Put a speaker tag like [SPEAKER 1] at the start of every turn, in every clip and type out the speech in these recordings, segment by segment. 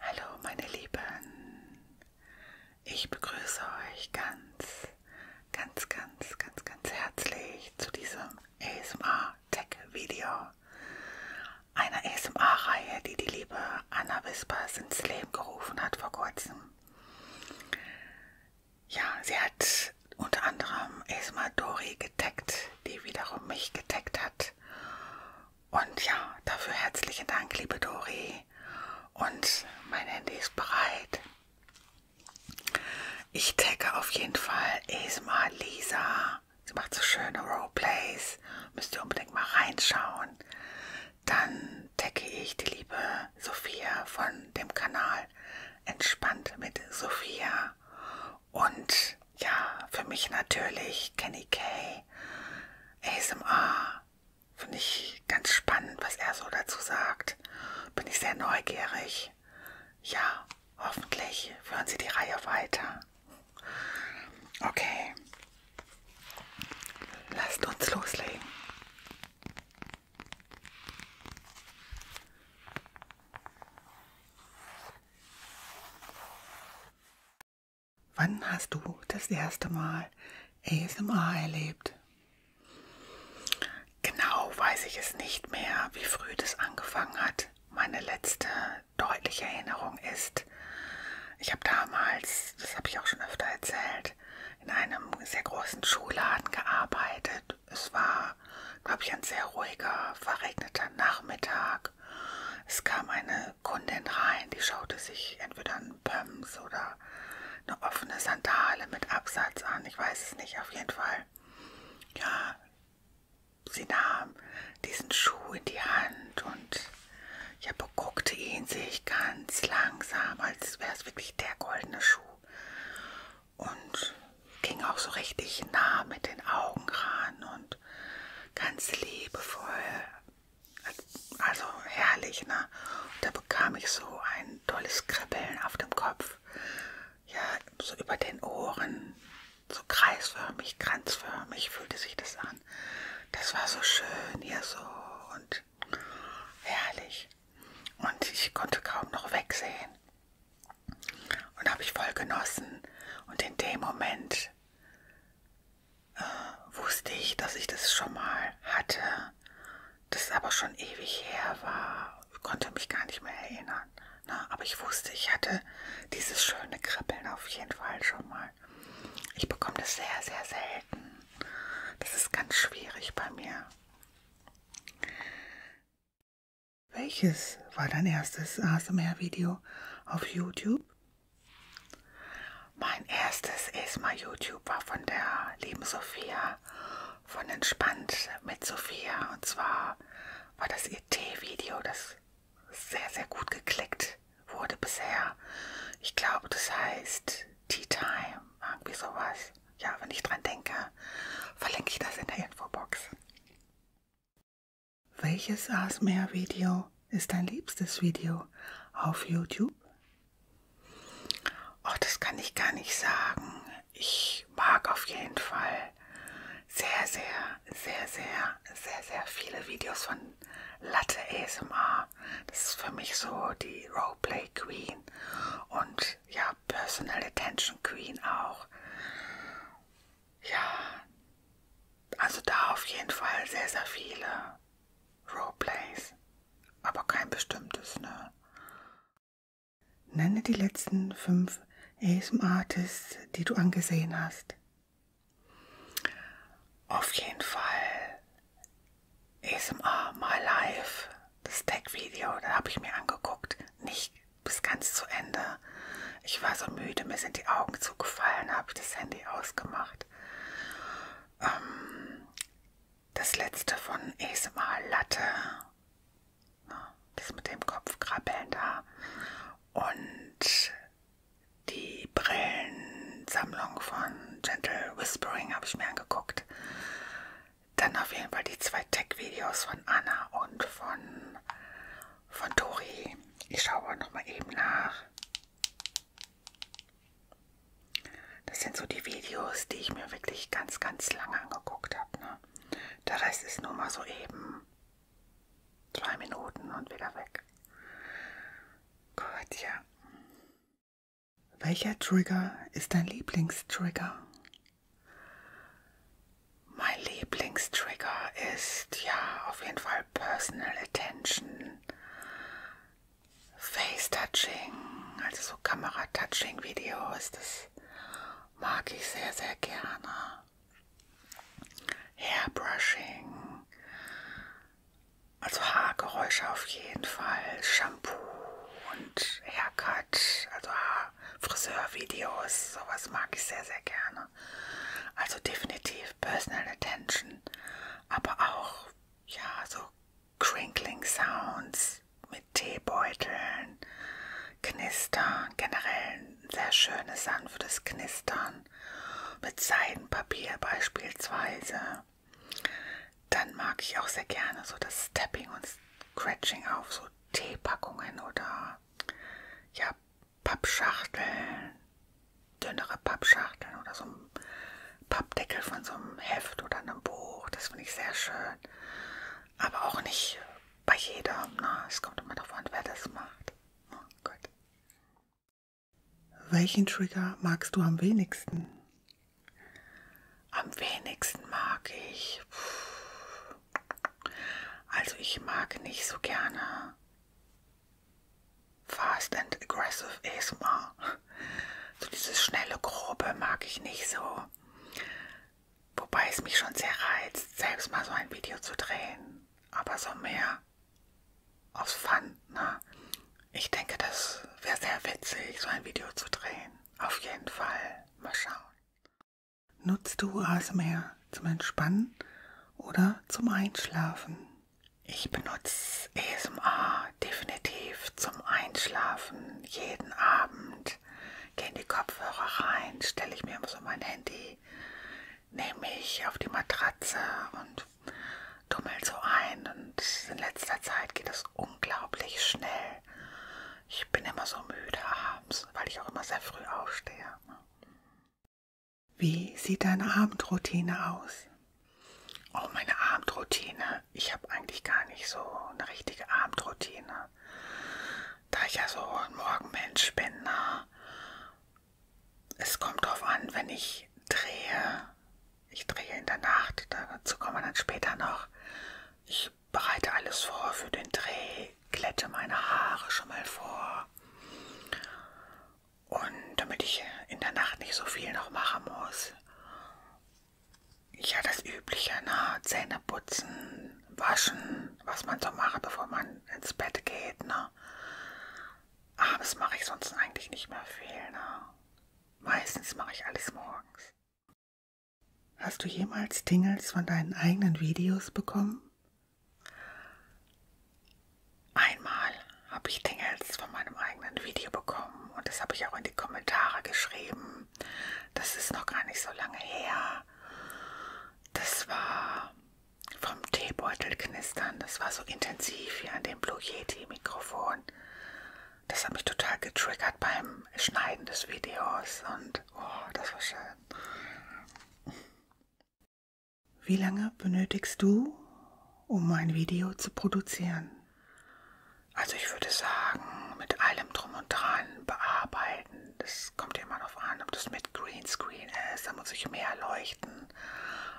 [SPEAKER 1] Hallo meine Lieben, ich begrüße euch ganz, ganz, ganz, ganz, ganz herzlich zu diesem ASMR Tech Video, einer ASMR-Reihe, die die liebe Anna Wispers ins Leben gerufen hat vor kurzem. Ja, sie hat unter anderem ASMR Dori getaggt, die wiederum mich getaggt hat. Und ja, dafür herzlichen Dank, liebe Dori. Und mein Handy ist bereit. Ich tagge auf jeden Fall Esma Lisa. Sie macht so schöne Roleplays. Müsst ihr unbedingt mal reinschauen. Dann tagge ich die liebe Sophia von dem Kanal Entspannt mit Sophia. Und ja, für mich natürlich Kenny Kay, ASMR. Finde ich ganz spannend, was er so dazu sagt. Bin ich sehr neugierig. Ja, hoffentlich führen Sie die Reihe weiter. Okay. Lasst uns loslegen. Wann hast du das erste Mal ASMR erlebt? Genau weiß ich es nicht mehr, wie früh das angefangen hat. Meine letzte deutliche Erinnerung ist, ich habe damals, das habe ich auch schon öfter erzählt, in einem sehr großen Schuhladen gearbeitet. Es war, glaube ich, ein sehr ruhiger, verregneter Nachmittag. Es kam eine eine Kundin rein, die schaute sich entweder einen Pumps oder eine offene Sandale mit Absatz an, ich weiß es nicht, auf jeden Fall. Ja, sie nahm diesen Schuh in die Hand und ja, beguckte ihn sich ganz langsam, als wäre es wirklich der goldene Schuh. Und ging auch so richtig nah mit den Augen ran und ganz liebevoll also herrlich, ne? Und da bekam ich so ein tolles Kribbeln auf dem Kopf. Ja, so über den Ohren. So kreisförmig, kranzförmig fühlte sich das an. Das war so schön hier so und herrlich. Und ich konnte kaum noch wegsehen. Und habe ich voll genossen. Und in dem Moment äh, wusste ich, dass ich das schon mal hatte, das aber schon ewig her war, konnte mich gar nicht mehr erinnern. Na, ne? aber ich wusste, ich hatte dieses schöne Kribbeln auf jeden Fall schon mal. Ich bekomme das sehr, sehr selten. Das ist ganz schwierig bei mir. Welches war dein erstes ASMR-Video auf YouTube? Mein erstes ESMA YouTube war von der lieben Sophia von Entspannt mit Sophia. Und zwar war das ihr Tee-Video, das sehr, sehr gut geklickt wurde bisher. Ich glaube, das heißt Tea Time, irgendwie sowas. Ja, wenn ich dran denke, verlinke ich das in der Infobox. Welches ASMR-Video ist dein liebstes Video auf YouTube? Oh, das kann ich gar nicht sagen. Ich mag auf jeden Fall sehr, sehr, sehr, sehr, sehr, sehr viele Videos von Latte ASMR. Das ist für mich so die Roleplay Queen und ja, Personal Attention Queen auch. Ja, also da auf jeden Fall sehr, sehr viele Roleplays. Aber kein bestimmtes, ne? Nenne die letzten fünf ASM-Artists, die du angesehen hast. Auf jeden Fall ASMR My Life, das Tech-Video, da habe ich mir angeguckt. Nicht bis ganz zu Ende. Ich war so müde, mir sind die Augen zugefallen, habe ich das Handy ausgemacht gemacht. Ähm, das letzte von ASMR Latte. Das mit dem Kopfkrabbeln da. Und die Brillensammlung von Gentle Whispering habe ich mir angeguckt. Dann auf jeden Fall die zwei Tech-Videos von Anna und von, von Tori. Ich schaue noch mal eben nach. Das sind so die Videos, die ich mir wirklich ganz, ganz lange angeguckt habe. Ne? Der Rest ist nur mal so eben zwei Minuten und wieder weg. Gut, ja. Welcher Trigger ist dein Lieblingstrigger? Mein Lieblingstrigger ist ja auf jeden Fall all personal attention, Face-Touching, also so Kamera-Touching-Videos, das mag ich sehr, sehr gerne. Hairbrushing, also Haargeräusche auf jeden Fall, Shampoo und Haircut, also Friseurvideos, sowas mag ich sehr, sehr gerne. Also definitiv Personal Attention, aber auch ja so crinkling Sounds mit Teebeuteln, Knistern, generell ein sehr schönes sanftes Knistern mit Seidenpapier beispielsweise. Dann mag ich auch sehr gerne so das Stepping und Scratching auf so Teepackungen oder ja Pappschachteln dünnere Pappschachteln oder so ein Pappdeckel von so einem Heft oder einem Buch. Das finde ich sehr schön. Aber auch nicht bei jedem. Ne? Es kommt immer darauf an, wer das macht. Oh, gut. Welchen Trigger magst du am wenigsten? Am wenigsten mag ich. Also ich mag nicht so gerne Fast and aggressive ASMR. So dieses schnelle, grobe mag ich nicht so. Wobei es mich schon sehr reizt, selbst mal so ein Video zu drehen. Aber so mehr aus Fun, ne? Ich denke, das wäre sehr witzig, so ein Video zu drehen. Auf jeden Fall. Mal schauen. Nutzt du ASMR zum Entspannen oder zum Einschlafen? Ich benutze ASMR definitiv zum Einschlafen jeden Abend. Gehe in die Kopfhörer rein, stelle ich mir so mein Handy, nehme mich auf die Matratze und tummel so ein. Und in letzter Zeit geht es unglaublich schnell. Ich bin immer so müde abends, weil ich auch immer sehr früh aufstehe. Wie sieht deine Abendroutine aus? Oh, meine Abendroutine. Ich habe eigentlich gar nicht so eine richtige Abendroutine. Da ich ja so ein Morgenmensch bin, na, ne? es kommt drauf an, wenn ich drehe. Ich drehe in der Nacht, dazu kommen wir dann später noch. Ich bereite alles vor für den Dreh, glätte meine Haare schon mal vor und damit ich in der Nacht nicht so viel noch machen muss. Ja, das Übliche, ne? Zähne putzen, waschen, was man so macht, bevor man ins Bett geht, ne? Abends ah, mache ich sonst eigentlich nicht mehr viel, ne? Meistens mache ich alles morgens. Hast du jemals Tingles von deinen eigenen Videos bekommen? Einmal habe ich Tingels von meinem eigenen Video bekommen und das habe ich auch in die Kommentare geschrieben. Das ist noch gar nicht so lange her. Das war vom Teebeutel knistern. Das war so intensiv hier an dem Blue Yeti Mikrofon. Das hat mich total getriggert beim Schneiden des Videos und oh, das war schön. Wie lange benötigst du, um ein Video zu produzieren? Also ich würde sagen, mit allem drum und dran bearbeiten. Das kommt ja immer darauf an, ob das mit Greenscreen ist. Da muss ich mehr leuchten,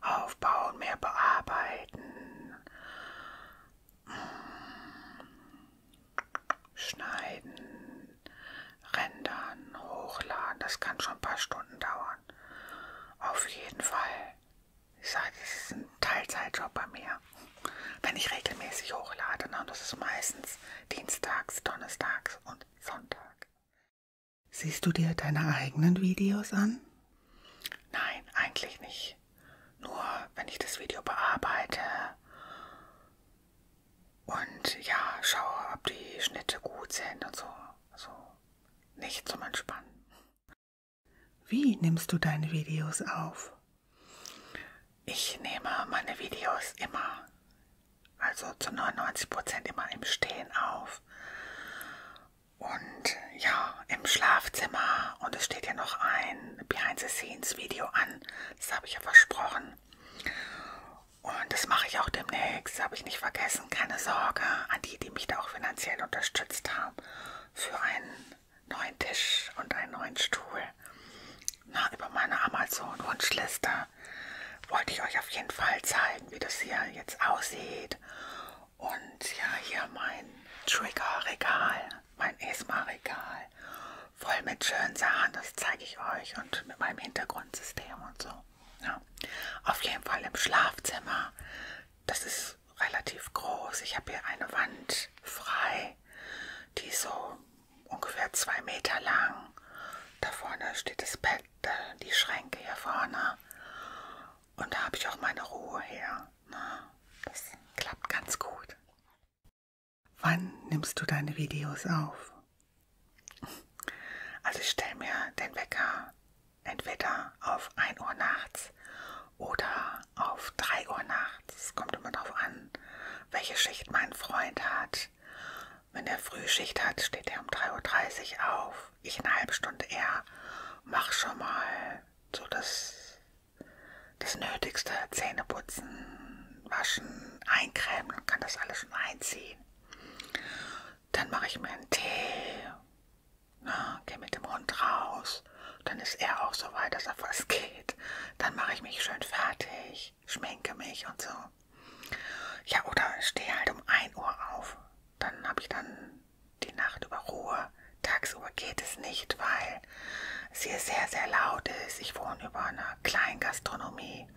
[SPEAKER 1] aufbauen, mehr bearbeiten, schneiden, rendern, hochladen. Das kann schon ein paar Stunden dauern. Auf jeden Fall. Ich sage, das ist ein Teilzeitjob bei mir. Wenn ich regelmäßig hochlade, ne? das ist meistens dienstags, donnerstags und Sonntag. Siehst du dir deine eigenen Videos an? Nein, eigentlich nicht. Nur wenn ich das Video bearbeite und ja, schaue, ob die Schnitte gut sind und so. So, also, nicht zum Entspannen. Wie nimmst du deine Videos auf? Ich nehme meine Videos immer, also zu 99% immer im Stehen auf. Und ja, im Schlafzimmer. Und es steht ja noch ein Behind-the-Scenes-Video an. Das habe ich ja versprochen. Und das mache ich auch demnächst. Habe ich nicht vergessen vergessen, keine Sorge, an die, die mich da auch finanziell unterstützt haben, für einen neuen Tisch und einen neuen Stuhl. Na, über meine Amazon-Wunschliste wollte ich euch auf jeden Fall zeigen, wie das hier jetzt aussieht. Und ja, hier mein Trigger-Regal, mein ESMA-Regal, voll mit schönen Sachen, das zeige ich euch und mit meinem Hintergrundsystem und so. Ja. Auf jeden Fall im Schlafzimmer. Das ist ist relativ groß. Ich habe hier eine Wand frei, die so ungefähr zwei Meter lang. Da vorne steht das Bett, die Schränke hier vorne. Und da habe ich auch meine Ruhe her. Ne? Das klappt ganz gut. Wann nimmst du deine Videos auf? Also ich stelle mir den Wecker entweder auf 1 Uhr nachts oder auf 3 Uhr nachts. Es kommt immer darauf an, welche Schicht mein Freund hat. Wenn er Frühschicht hat, steht er um 3.30 Uhr auf. Ich eine halbe Stunde eher. Mach schon mal so das, das Nötigste. Zähne putzen, waschen, eincremen und kann das alles schon einziehen. Dann mache ich mir einen Tee na, geh mit dem Hund raus. Dann ist er auch so weit, dass er was geht. Dann mache ich mich schön fertig, schminke mich und so. Ja, oder stehe halt um 1 Uhr auf. Dann habe ich dann die Nacht über Ruhe. Tagsüber geht es nicht, weil es hier sehr, sehr laut ist. Ich wohne über einer kleinen Gastronomie,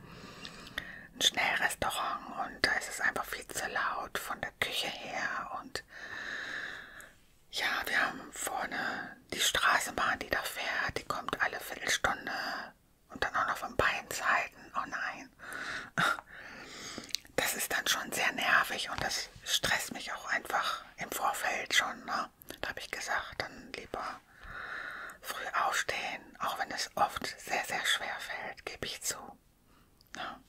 [SPEAKER 1] ein Schnellrestaurant und da ist es einfach viel zu laut. Von der Küche her und ja, wir haben vorne die Straßenbahn, die da fährt, die kommt alle Viertelstunde und dann auch noch von beiden Seiten. Oh nein. Das ist dann schon sehr nervig und das stresst mich auch einfach im Vorfeld schon. Ne? Da habe ich gesagt, dann lieber früh aufstehen, auch wenn es oft sehr, sehr schwer fällt, gebe ich zu. Ne?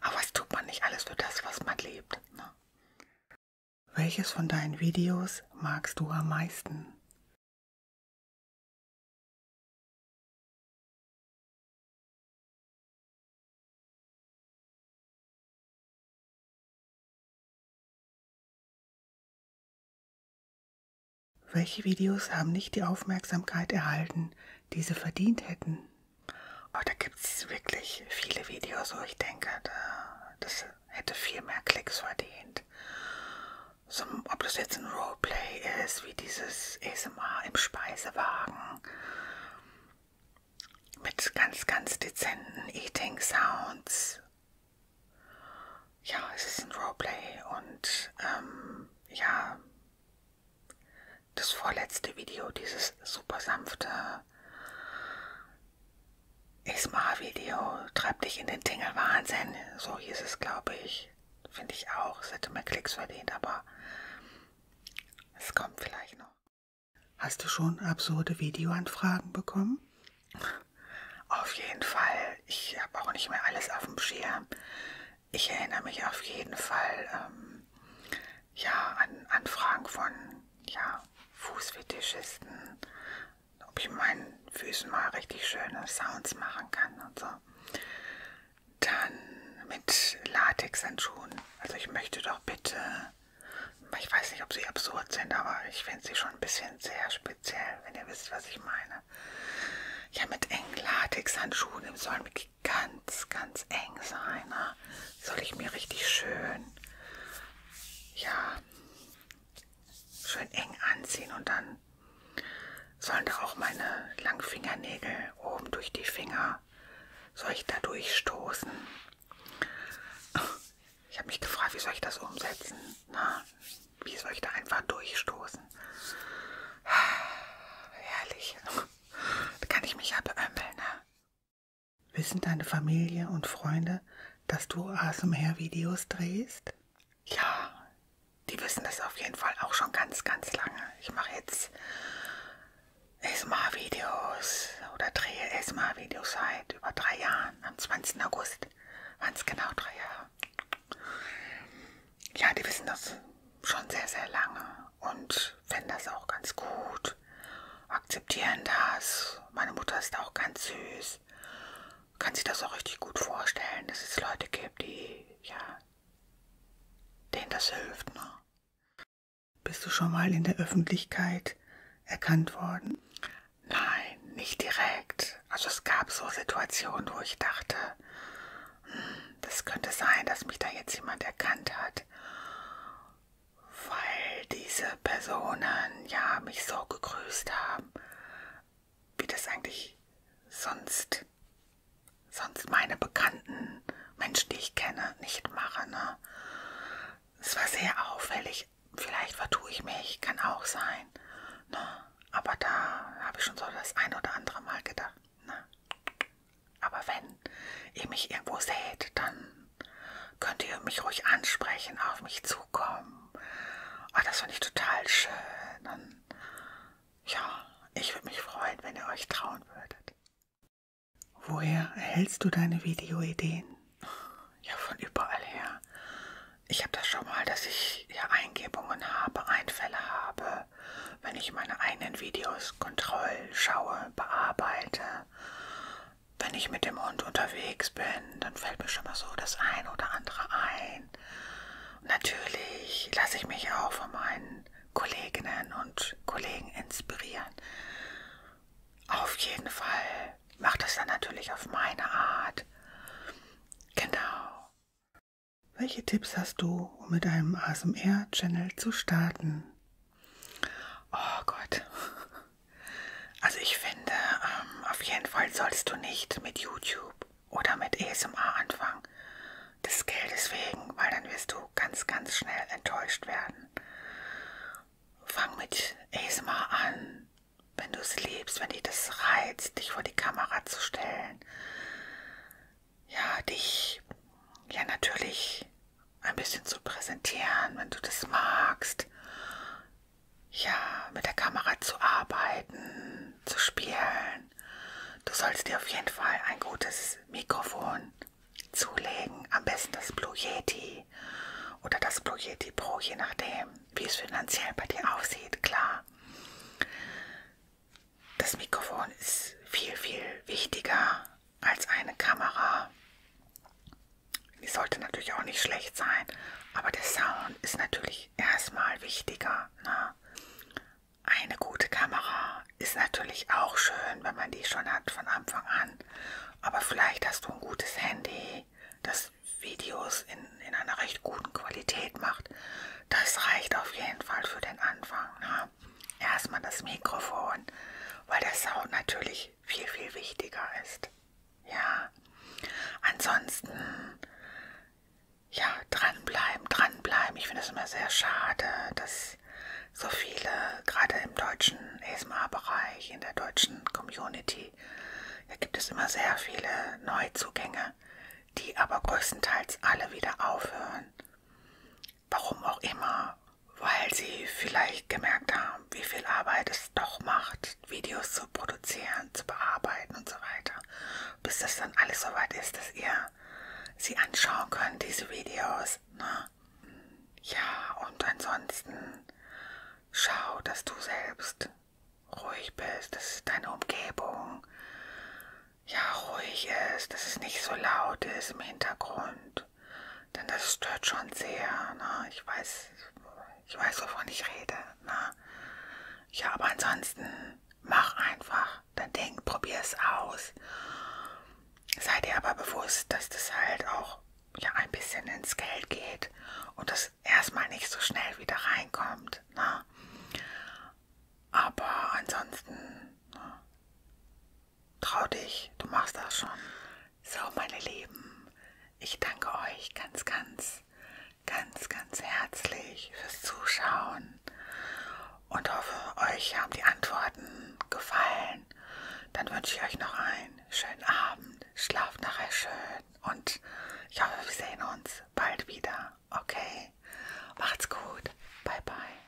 [SPEAKER 1] Aber was tut man nicht alles für das, was man lebt? Ne? Welches von deinen Videos magst du am meisten? Welche Videos haben nicht die Aufmerksamkeit erhalten, die sie verdient hätten? Oh, da gibt es wirklich viele Videos, wo ich denke, da, das hätte viel mehr Klicks verdient. So, ob das jetzt ein Roleplay ist, wie dieses ASMR im Speisewagen mit ganz, ganz dezenten Eating Sounds. Ja, es ist ein Roleplay und ähm, ja, das vorletzte Video, dieses super sanfte Isma-Video, treibt dich in den Tingelwahnsinn. So hieß es, glaube ich. Finde ich auch. Es hätte mehr Klicks verdient, aber es kommt vielleicht noch. Hast du schon absurde Videoanfragen bekommen? Auf jeden Fall. Ich habe auch nicht mehr alles auf dem Schirm ich erinnere mich auf jeden Fall ähm, ja, an Anfragen von ja, Fußfetischisten, ob ich meinen Füßen mal richtig schöne Sounds machen kann und so. Dann mit Latexhandschuhen. Also ich möchte doch bitte, ich weiß nicht, ob sie absurd sind, aber ich finde sie schon ein bisschen sehr speziell, wenn ihr wisst, was ich meine. Ja, mit engen Latexhandschuhen im Soll mit wirklich ganz, ganz eng sein. Ne? Soll ich mir richtig schön, ja, schön eng anziehen und dann sollen da auch meine langen Fingernägel oben durch die Finger, soll ich da durchstoßen? Ich habe mich gefragt, wie soll ich das umsetzen? Na, wie soll ich da einfach durchstoßen? Herrlich. Da kann ich mich ja beömmeln, ne? Wissen deine Familie und Freunde, dass du ASMR-Videos drehst? Ja, die wissen das auf jeden Fall auch schon ganz, ganz lange. Ich mache jetzt ASMR-Videos oder drehe ASMR-Videos seit über drei Jahren. Am 20. August waren es genau drei Jahre. Ja, die wissen das schon sehr, sehr lange und fänden das auch ganz gut, akzeptieren das. Meine Mutter ist auch ganz süß, kann sich das auch richtig gut vorstellen, dass es Leute gibt, die, ja, denen das hilft. Ne? Bist du schon mal in der Öffentlichkeit erkannt worden? Nein, nicht direkt. Also es gab so Situationen, wo ich dachte, das könnte sein, dass mich da jetzt jemand erkannt hat, weil diese Personen ja mich so gegrüßt haben, wie das eigentlich sonst, sonst meine bekannten Menschen, die ich kenne, nicht machen. Ne? Es war sehr auffällig. Vielleicht vertue ich mich, kann auch sein. Ne? Aber da habe ich schon so das ein oder andere Mal gedacht. Ne? Aber wenn ihr mich irgendwo seht, dann könnt ihr mich ruhig ansprechen, auf mich zukommen. Oh, das finde ich total schön. Und ja, ich würde mich freuen, wenn ihr euch trauen würdet. Woher erhältst du deine Videoideen? Ja, von überall her. Ich habe das schon mal, dass ich ja Eingebungen habe, Einfälle habe wenn ich meine eigenen Videos Kontroll schaue, bearbeite. Wenn ich mit dem Hund unterwegs bin, dann fällt mir schon mal so das eine oder andere ein. Und natürlich lasse ich mich auch von meinen Kolleginnen und Kollegen inspirieren. Auf jeden Fall macht das dann natürlich auf meine Art. Genau. Welche Tipps hast du, um mit einem ASMR-Channel zu starten? Oh Gott. Also ich finde, ähm, auf jeden Fall sollst du nicht mit YouTube oder mit ASMR anfangen. Das gilt deswegen, weil dann wirst du ganz, ganz schnell enttäuscht werden. Fang mit ASMR an, wenn du es liebst, wenn dich das reizt, dich vor die Kamera zu stellen ja, dich ja natürlich ein bisschen zu präsentieren, wenn du das magst. Ja, mit der Kamera zu arbeiten, zu spielen. Du sollst dir auf jeden Fall ein gutes Mikrofon zulegen, am besten das Blue Yeti oder das Blue Yeti Pro, je nachdem, wie es finanziell bei dir aussieht, klar. Das Mikrofon ist viel, viel wichtiger als eine Kamera. Die sollte natürlich auch nicht schlecht sein, aber der Sound ist natürlich erstmal wichtiger. Ne? Eine gute Kamera ist natürlich auch schön, wenn man die schon hat von Anfang an. Aber vielleicht hast du ein gutes Handy, das Videos in, in einer recht guten Qualität macht. Das reicht auf jeden Fall für den Anfang. Ne? mir erstmal das Mikrofon, weil der Sound natürlich viel, viel wichtiger ist. Ja, ansonsten, ja, dranbleiben, dranbleiben. Ich finde es immer sehr schade, dass so viele, gerade im deutschen ESMA-Bereich, in der deutschen Community, da gibt es immer sehr viele Neuzugänge, die aber größtenteils alle wieder aufhören. Warum auch immer. Weil sie vielleicht gemerkt haben, wie viel Arbeit es doch macht, Videos zu produzieren, zu bearbeiten und so weiter. Bis das dann alles soweit ist, dass ihr sie anschauen könnt, diese Videos. Ne? Ja, und ansonsten schau, dass du selbst ruhig bist, dass deine Umgebung ja ruhig ist, dass es nicht so laut ist im Hintergrund gut. Denn das stört schon sehr. Ne? Ich weiß, ich weiß, wovon ich rede. Ne? Ja, aber ansonsten mach einfach dein Ding, probier es aus. Sei dir aber bewusst, dass das halt auch ja, ein bisschen ins Geld geht und das erstmal nicht so schnell wieder reinkommt. Ne? Aber ansonsten ne? Trau dich, du machst das schon. So, meine Lieben, ich danke euch ganz, ganz, ganz, ganz herzlich fürs Zuschauen und hoffe, euch haben die Antworten gefallen. Dann wünsche ich euch noch einen schönen Abend. Schlaft nachher schön und ich hoffe, wir sehen uns bald wieder. Okay? Macht's gut. Bye, bye.